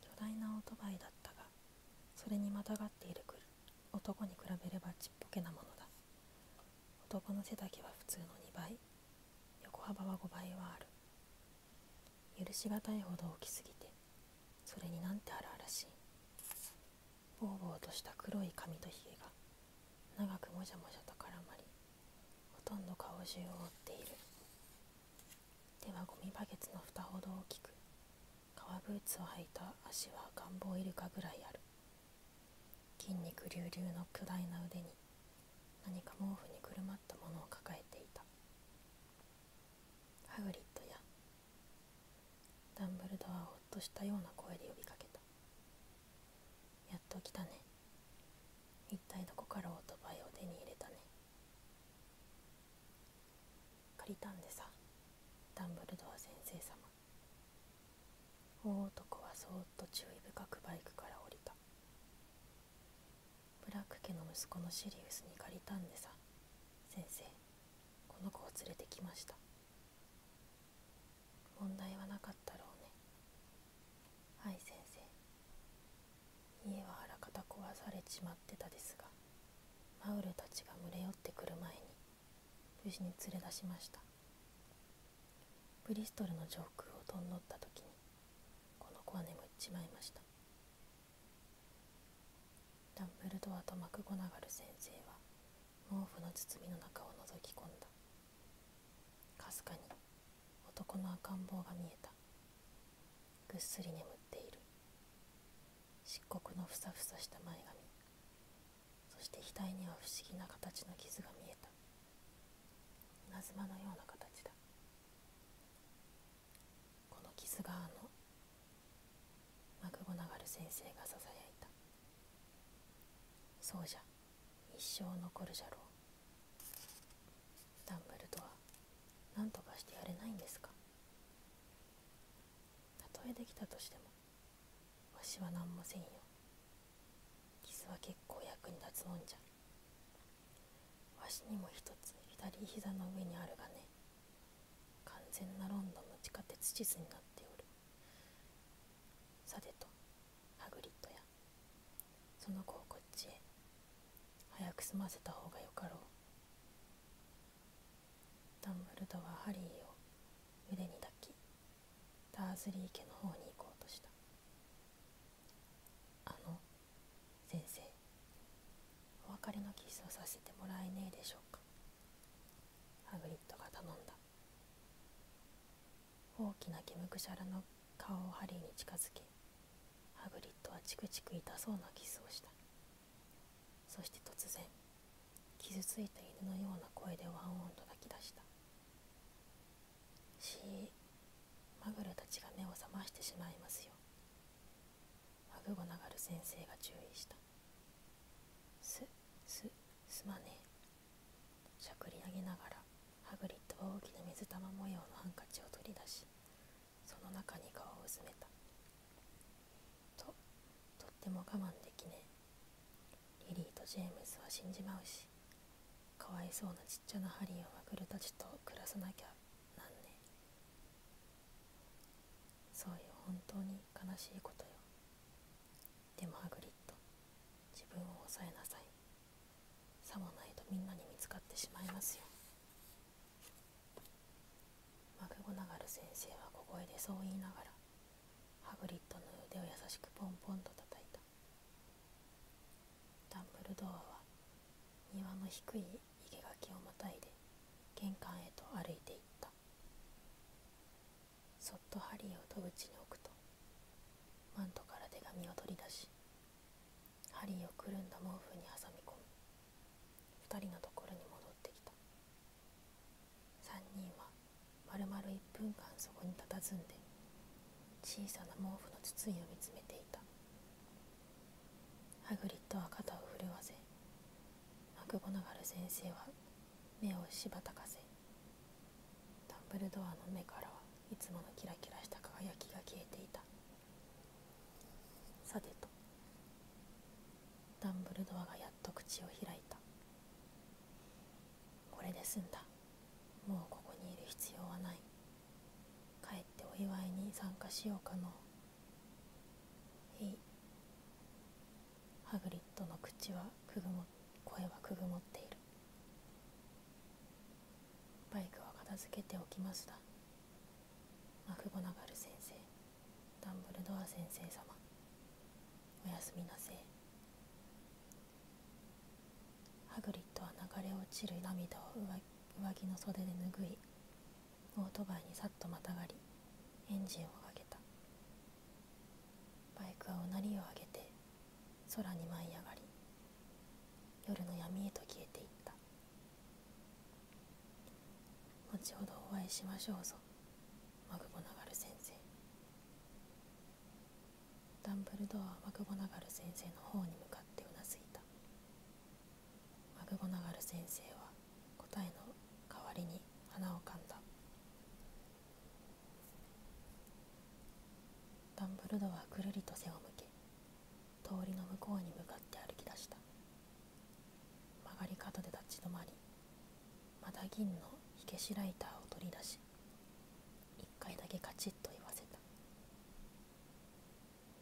巨大なオートバイだったがそれにまたがっている男に比べればちっぽけなものだ男の背丈は普通の2倍横幅は5倍はある許し難いほど大きすぎてそれになんてるらしいぼうぼうとした黒い髪と髭が長くもじゃもじゃと絡まりほとんど顔中を覆っている手はゴミバケツの蓋ほど大きく革ブーツを履いた足は願望イルカぐらいある筋肉隆々の巨大な腕に何か毛布にくるまったものを抱えていたハグリッドやダンブルドアはほっとしたような声で呼びかけたやっと来たね一体どこからオートバイを手に入れたね借りたんでさダンブルドア先生様大男はそっと注意深くバイクから降りたブラック家の息子のシリウスに借りたんでさ先生この子を連れてきました問題はなかったろうねはい先生家はあらかた壊されちまってたですがマウルたちが群れ寄ってくる前に無事に連れ出しましたブリストルの上空を飛んどった時にこの子は眠っちまいましたダンブルドアとマクゴナガル先生は毛布の包みの中を覗き込んだかすかに男の赤ん坊が見えたぐっすり眠っている漆黒のふさふさした前髪そして額には不思議な形の傷が見えた稲まのような形だこの傷があのマクゴナガル先生がささやいたそうじゃ一生残るじゃろうダンベルドア何とかしてやれないんですかたとえできたとしてもわしは何もせんよ傷は結構役に立つもんじゃわしにも一つ左膝の上にあるがね完全なロンドンの地下鉄地図になっておるさてとハグリッドやその子をこっちへ早く済ませた方がよかろうダンブルドはハリーを腕に抱きダーズリー家の方に行こうとしたあの先生お別れのキスをさせてもらえねえでしょうかハグリッドが頼んだ大きな毛むくしゃらの顔をハリーに近づけハグリッドはチクチク痛そうなキスをしたそして突然傷ついた犬のような声でワンオンと泣き出したしマグロたちが目を覚ましてしまいますよマグゴナガル先生が注意したすすすまねえしゃくり上げながらハグリッドは大きな水玉模様のハンカチを取り出しその中に顔を薄めたととっても我慢できねえリリーとジェームスは死んじまうしかわいそうなちっちゃなハリーをまくるたちと暮らさなきゃなんねそうよ本当に悲しいことよでもハグリッド自分を抑えなさいさもないとみんなに見つかってしまいますよマグゴナガル先生は小声でそう言いながらハグリッドの腕を優しくポンポンと叩いたダンブルドアは庭の低い生垣をまたいで玄関へと歩いていったそっとハリーを戸口に置くとマントから手紙を取り出しハリーをくるんだ毛布に挟み込み2人のところに戻ってきた3人はまるまる1分間そこに佇んで小さな毛布の筒井を見つめていたハグリッドは肩を震わせマクゴナガル先生は目をしばたかせダンブルドアの目からはいつものキラキラした輝きが消えていたさてとダンブルドアがやっと口を開いたこれで済んだもうここにいる必要はない帰ってお祝いに参加しようかのへいハグリッドの口はくぐも声はくぐもっているバイクは片付けておきましたマクゴナガル先生ダンブルドア先生様おやすみなせいハグリッドは流れ落ちる涙を上着の袖で拭いオートバイにさっとまたがりエンジンをかけたバイクはうなりを上げて空に舞い上がり夜の闇へと消えていった後ほどお会いしましょうぞマグボナガル先生ダンブルドアはマグボナガル先生の方に向かってうなずいたマグボナガル先生は答えの代わりに花をかんだダンブルドはぐるりと背を向け通りの向こうに向かって歩き出した曲がり角で立ち止まりまた銀の火消しライターを取り出し1回だけカチッと言わせた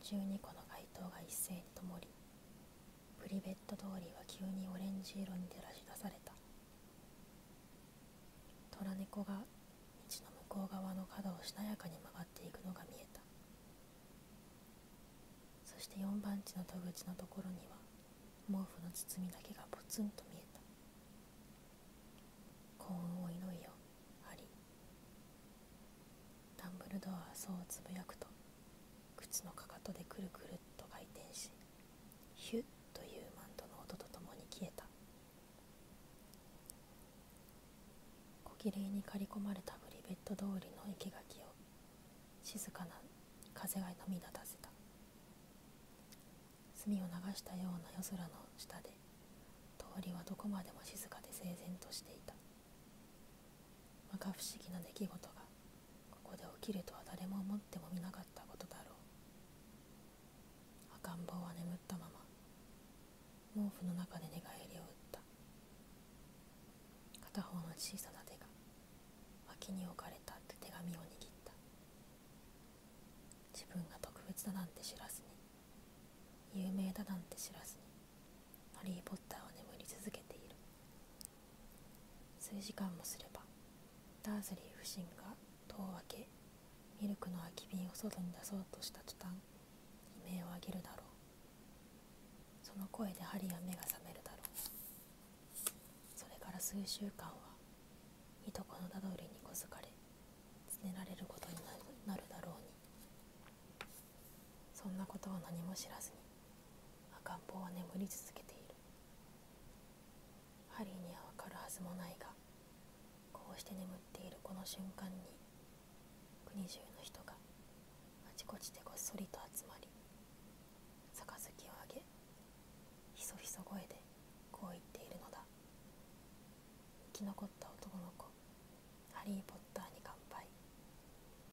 12個の街灯が一斉に灯りプリベット通りは急にオレンジ色に照らし出された虎猫が道の向こう側の角をしなやかに曲がっていくのが見えたそして4番地の戸口のところには毛布の包みだけがぽつんと見えた幸運を祈るよあり。ダンブルドアはそうつぶやくと靴のかかとでくるくるっと回転しヒュッというマントの音とともに消えた小綺麗に刈り込まれたブリベット通りの生垣を静かな風が飲み立たせた墨を流したような夜空の下で通りはどこまでも静かで整然としていた摩訶不思議な出来事がここで起きるとは誰も思ってもみなかったことだろう赤ん坊は眠ったまま毛布の中で寝返りを打った片方の小さな手が脇に置かれたって手紙を握った自分が特別だなんて知らずに有名だなんて知らずにハリー・ポッターは眠り続けている数時間もすればダーズリー夫人が戸を開けミルクの空き瓶を外に出そうとした途端悲鳴を上げるだろうその声で針や目が覚めるだろうそれから数週間はいとこのダドりに小づかれつねられることになるだろうにそんなことを何も知らずに赤ん坊は眠り続けているハリーにはわかるはずもないがこうして眠っているこの瞬間に国中の人があちこちでごっそりと集まり杯をあげひそひそ声でこう言っているのだ生き残った男の子ハリー・ポッターに乾杯